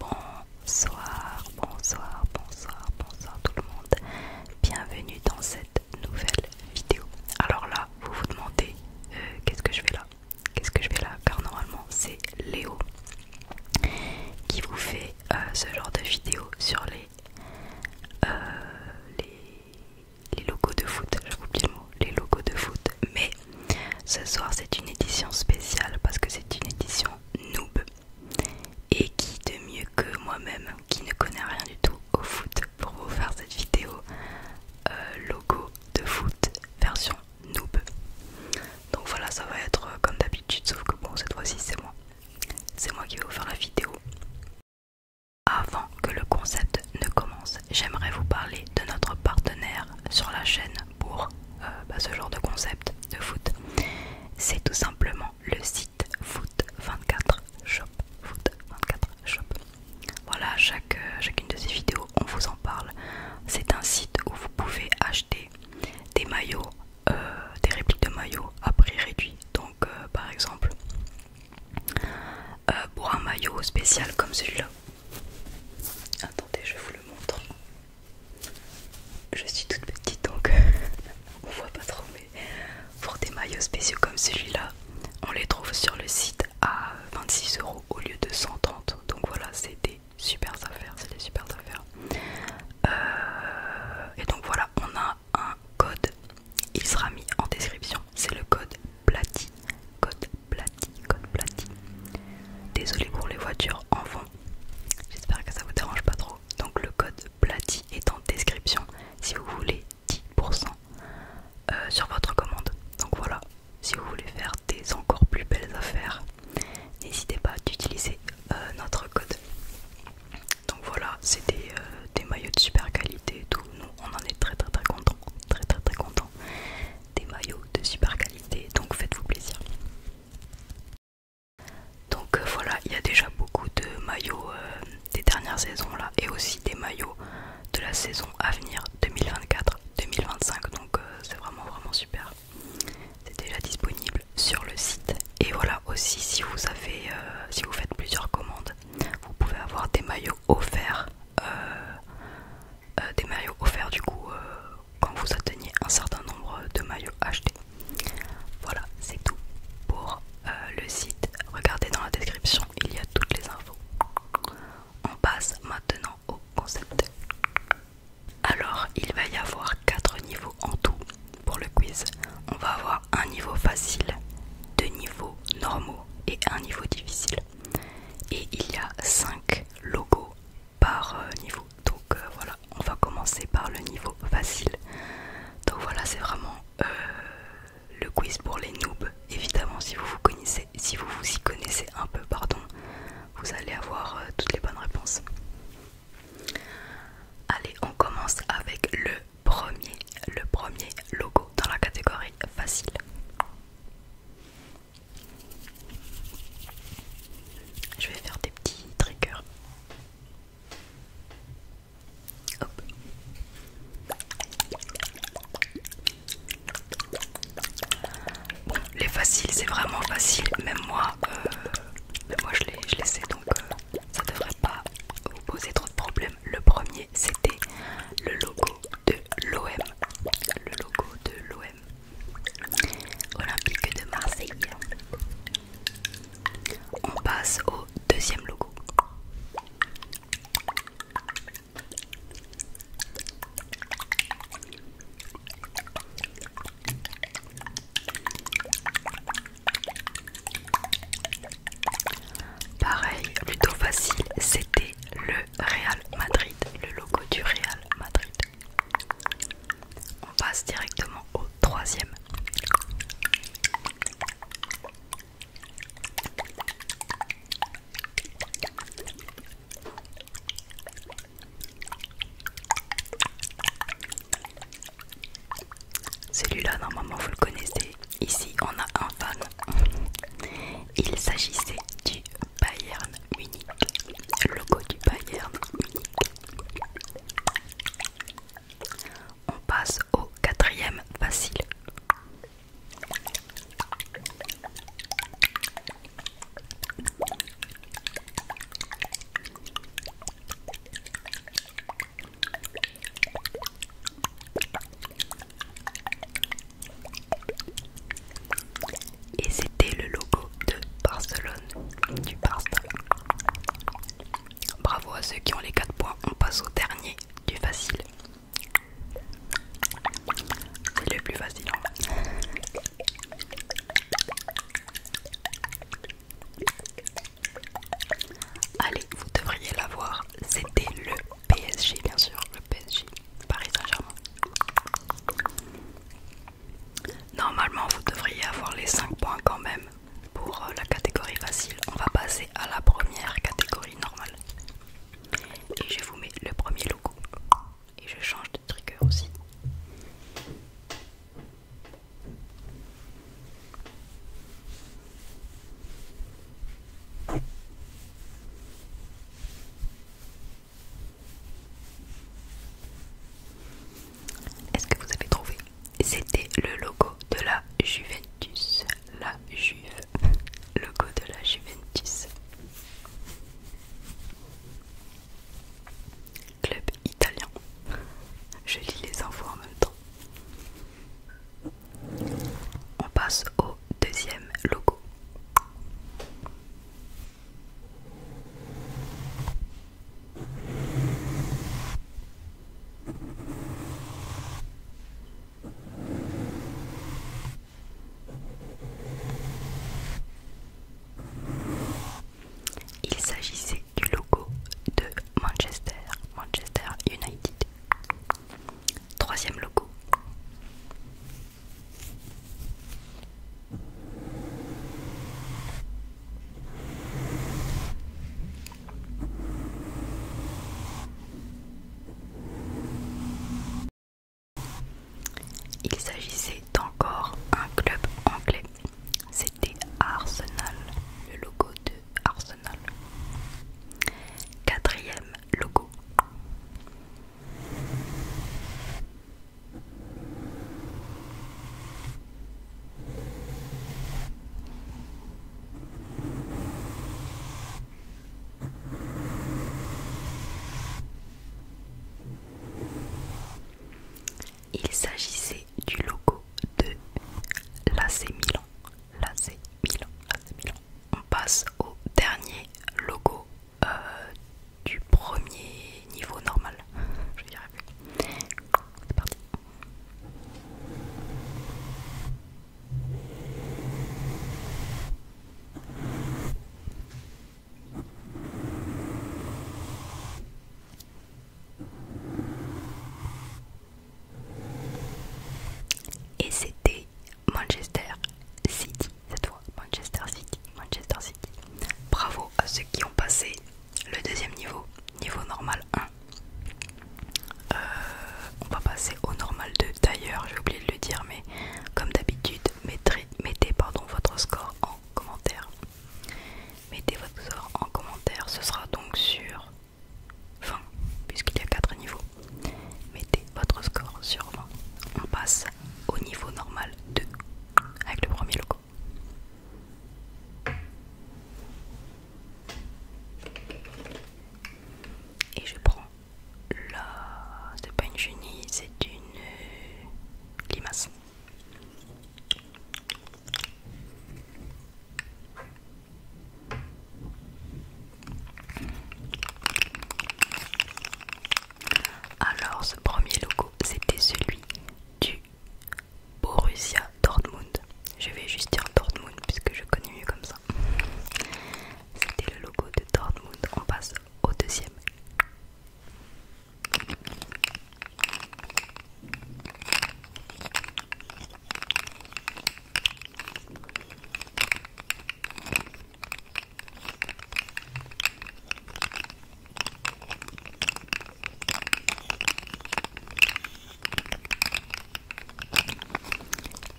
Bonsoir, bonsoir, bonsoir, bonsoir tout le monde. Bienvenue dans cette nouvelle vidéo. Alors là, vous vous demandez euh, qu'est-ce que je fais là Qu'est-ce que je fais là Car normalement, c'est Léo qui vous fait euh, ce genre de vidéo sur les, euh, les logos de foot. J'ai oublié le mot. Les logos de foot. Mais ce soir, c'est une édition spéciale parce que c'est une édition noob. Et qui de mieux que moi-même, qui ne connais rien du tout au foot, pour vous faire cette vidéo euh, logo de foot version noob. Donc voilà, ça va être euh, comme d'habitude, sauf que bon, cette fois-ci, c'est moi. C'est moi qui vais vous faire la vidéo. Avant que le concept ne commence, j'aimerais vous parler de notre partenaire sur la chaîne pour euh, bah, ce genre de concept de foot, c'est tout simplement le site foot24 shop. 24 shop. Voilà, chaque, euh, chacune de ces vidéos, on vous en parle. C'est un site où vous pouvez acheter des maillots, euh, des répliques de maillots à prix réduit. Donc, par exemple, pour un maillot spécial comme celui-là, Attendez, je vous le montre. Je suis toute petite donc on voit pas trop, mais pour des maillots spéciaux comme celui-là, on les trouve sur le site à 26 euros au lieu de 130. Donc voilà, c'est des super affaires, c'est des super affaires. Euh, et donc voilà, on a un code, il sera mis en description. C'est le code Platy, code Platy, code Platy. Désolé pour les voitures en fond. j'espère que ça vous dérange pas trop. Donc le code Platy est en description si vous voulez 10% euh, sur votre commande. Donc voilà, si vous voulez faire des encore plus belles affaires, n'hésitez pas d'utiliser euh, notre code. Donc voilà, c'est euh, des, maillots de super qualité et tout. Nous on en est très très très très très très contents des maillots de super qualité, donc faites-vous plaisir. Donc euh, voilà, il y a déjà beaucoup de maillots euh, des dernières saisons là et aussi des maillots de la saison à venir 2024-2025 donc euh, c'est vraiment vraiment super. C'est déjà disponible sur le site et voilà aussi si vous avez si vous faites plusieurs commandes, vous pouvez avoir des maillots offerts euh, euh, des maillots offerts du coup euh, quand vous atteignez un certain nombre de maillots achetés. Voilà, c'est tout pour le site. Regardez dans la description, il y a toutes les infos. On passe maintenant au concept. Alors, il va y avoir 4 niveaux en tout pour le quiz. On va avoir un niveau facile, deux niveaux normaux et un niveau difficile. Et il y a 5 logo par euh, niveau. Donc euh, voilà, on va commencer par le niveau facile. Donc voilà, c'est vraiment euh, le quiz pour les noobs. Évidemment, si vous vous connaissez, si vous vous y connaissez un peu, pardon, vous allez avoir toutes les bonnes réponses. Allez, on commence avec le premier, le premier logo dans la catégorie facile. Je vais faire des petits triggers. Bon, les faciles, c'est vraiment facile. Même moi, euh, moi je, les, je sais donc ça euh, ça devrait pas vous poser trop de problèmes. Le premier, c'était le logo de l'OM. Le logo de l'OM olympique de Marseille. On passe au deuxième logo. Pareil, plutôt facile, c'était le Real Madrid, le logo du Real Madrid. On passe directement au troisième. Celui-là, normalement, vous le connaissez. Ici, on a un fan. Il s'agissait du Bayern unique, logo du Bayern On passe au quatrième facile. Et c'était le logo de Barcelone, du Barça. Bravo à ceux qui ont les 4 points, on passe au dernier du facile. C'est le plus facile. Allez, vous devriez l'avoir. C'était le PSG, bien sûr, le PSG. Paris Saint-Germain. Normalement, vous devriez avoir les 5 points quand même pour euh, la catégorie facile. On va passer à la première catégorie normale. Et je vous mets le premier logo. Et je change de trigger aussi. Est-ce que vous avez trouvé C'était le logo de la Juventus. La Juve. Logo de la Juventus. Club italien. Je lis les infos en même temps. On passe au deuxième logo. Il s'agissait du logo de Manchester, Manchester United. Troisième logo. Il s'agissait encore un club anglais. C'était Arsenal, le logo de Arsenal. Quatrième logo. Il s'agissait du logo de l'AC Milan. Milan. On passe au dernier logo euh, du premier niveau normal. Je dirais plus. C'est parti. Et c'était Manchester City, cette fois Manchester City, Manchester City. Bravo à ceux qui ont passé le deuxième niveau, niveau normal 1. Euh, on va passer au normal 2. D'ailleurs, j'ai oublié de le dire, mais comme d'habitude, mettez, mettez pardon, votre score en commentaire. Mettez votre score en commentaire, ce sera donc sur 20, puisqu'il y a 4 niveaux. Mettez votre score sur On passe au niveau normal 2 avec le premier logo. Et je prends la... c'est pas une chenille, c'est une euh, limace. Alors ce premier logo c'était celui du Borussia Dortmund. Je vais juste dire Dortmund puisque je connais mieux comme ça. C'était le logo de Dortmund. On passe au deuxième.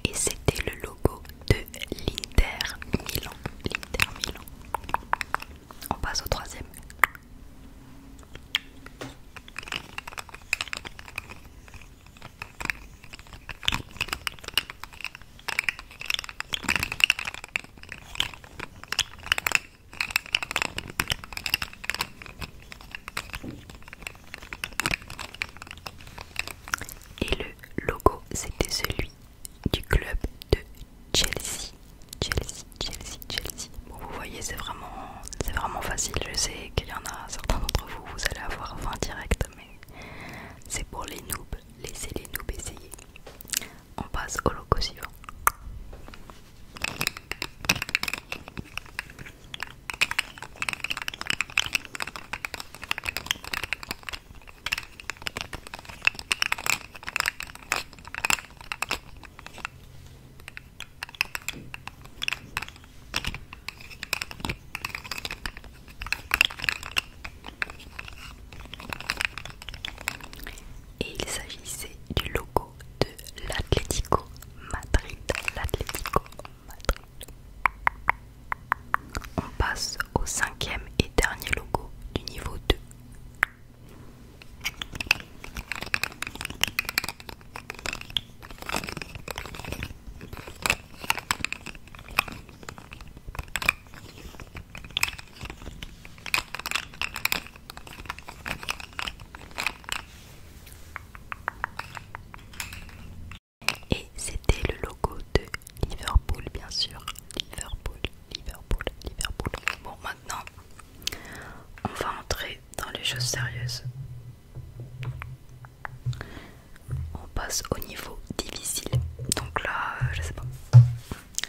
Et c'était le logo de l'Inter Milan. Milan. On passe au troisième. Et le logo, c'était celui du club de Chelsea. Chelsea, Chelsea, Chelsea. vous voyez, c'est vraiment, c'est vraiment facile. Je sais qu'il y en a certains d'entre vous, vous allez avoir 20 direct, mais c'est pour les noobs. Laissez les noobs essayer. On passe au loco suivant. Et il s'agissait du logo de l'Atlético Madrid. L'Atlético Madrid. On passe au cinquième et dernier logo du niveau 2. Et c'était le logo de Liverpool, bien sûr. Liverpool, Liverpool, Liverpool. Bon, maintenant, on va entrer dans les choses sérieuses. On passe au niveau difficile. Donc là, euh, je sais pas.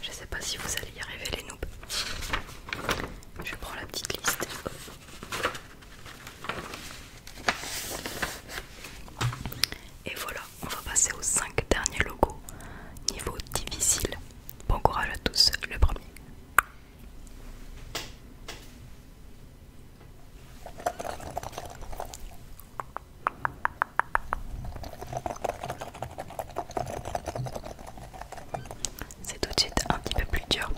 Je sais pas si vous allez y arriver les noobs. Je prends la petite liste. Et voilà, on va passer aux cinq derniers logos. Niveau difficile. Bon courage à tous, le premier. C'est tout de suite un petit peu plus dur.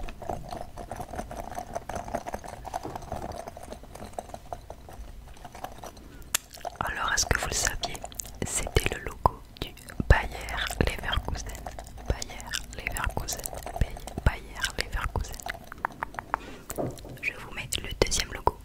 Alors, est-ce que vous le saviez C'était le logo du Bayer Leverkusen. Bayer Leverkusen. Bayer Leverkusen. Je vous mets le deuxième logo.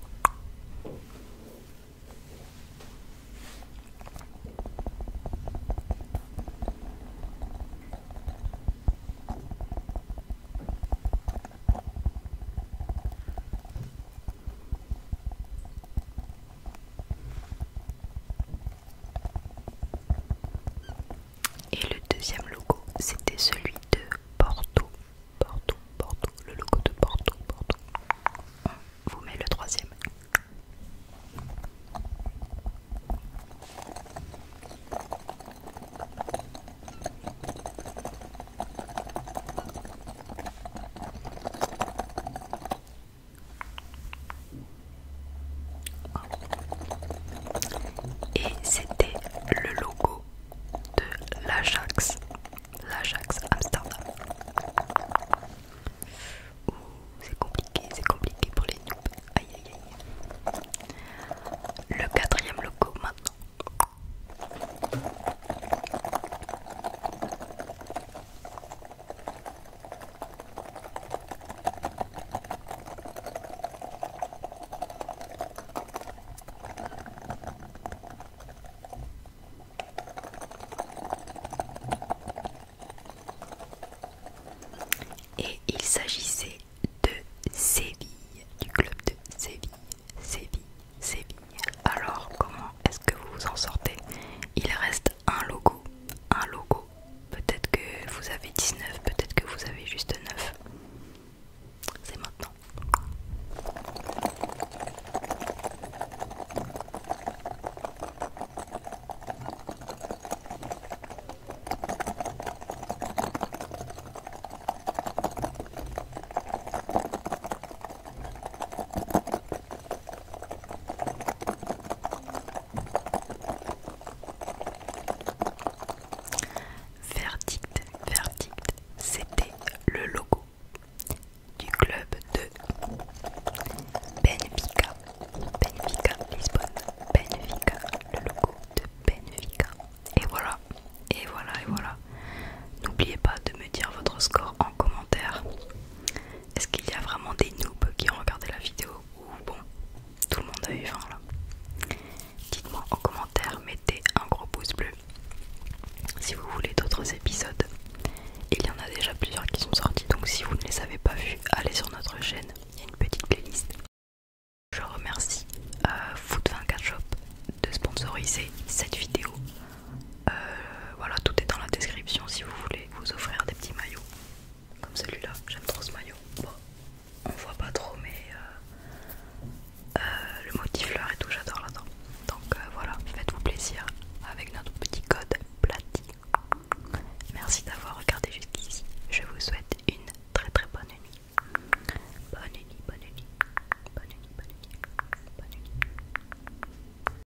Et le deuxième logo, c'était celui de Porto Porto, Porto, le logo de Porto, Porto. vous met le troisième. Et c'était le logo de l'Ajax l'Ajax Amsterdam. Ouh, c'est compliqué, c'est compliqué pour les noobs. Aïe aïe aïe. Le quatrième logo maintenant. Et il s'agissait de Séville, du club de Séville, Séville, Séville. Alors comment est-ce que vous vous en sortez Il reste un logo, un logo. Peut-être que vous avez 19, peut-être que vous avez juste 9. C'est maintenant. Verdict, verdict, c'était le logo du club de Benfica. Benfica Lisbonne. Benfica, le logo de Benfica. Et voilà, et voilà, et voilà. N'oubliez pas de me dire votre score en commentaire. Est-ce qu'il y a vraiment des noobs qui ont regardé la vidéo ou bon, tout le monde a eu faim là Dites-moi en commentaire, mettez un gros pouce bleu si vous voulez d'autres épisodes. Il y en a déjà plusieurs qui sont sortis, donc si vous ne les avez pas vus, allez sur notre chaîne, il y a une petite playlist. Je remercie euh, Food24 Shop de sponsoriser cette vidéo. Euh, voilà, tout est dans la description si vous voulez vous offrir des petits maillots comme celui-là. J'aime trop ce maillot. on voit pas trop, mais euh, euh, le motif fleur et tout, j'adore là-dedans. Donc euh, voilà, faites-vous plaisir avec notre petit code Plati. Merci d'avoir regardé jusqu'ici. Je vous souhaite une très très bonne nuit. Bonne nuit, bonne nuit, bonne nuit, bonne nuit, bonne nuit.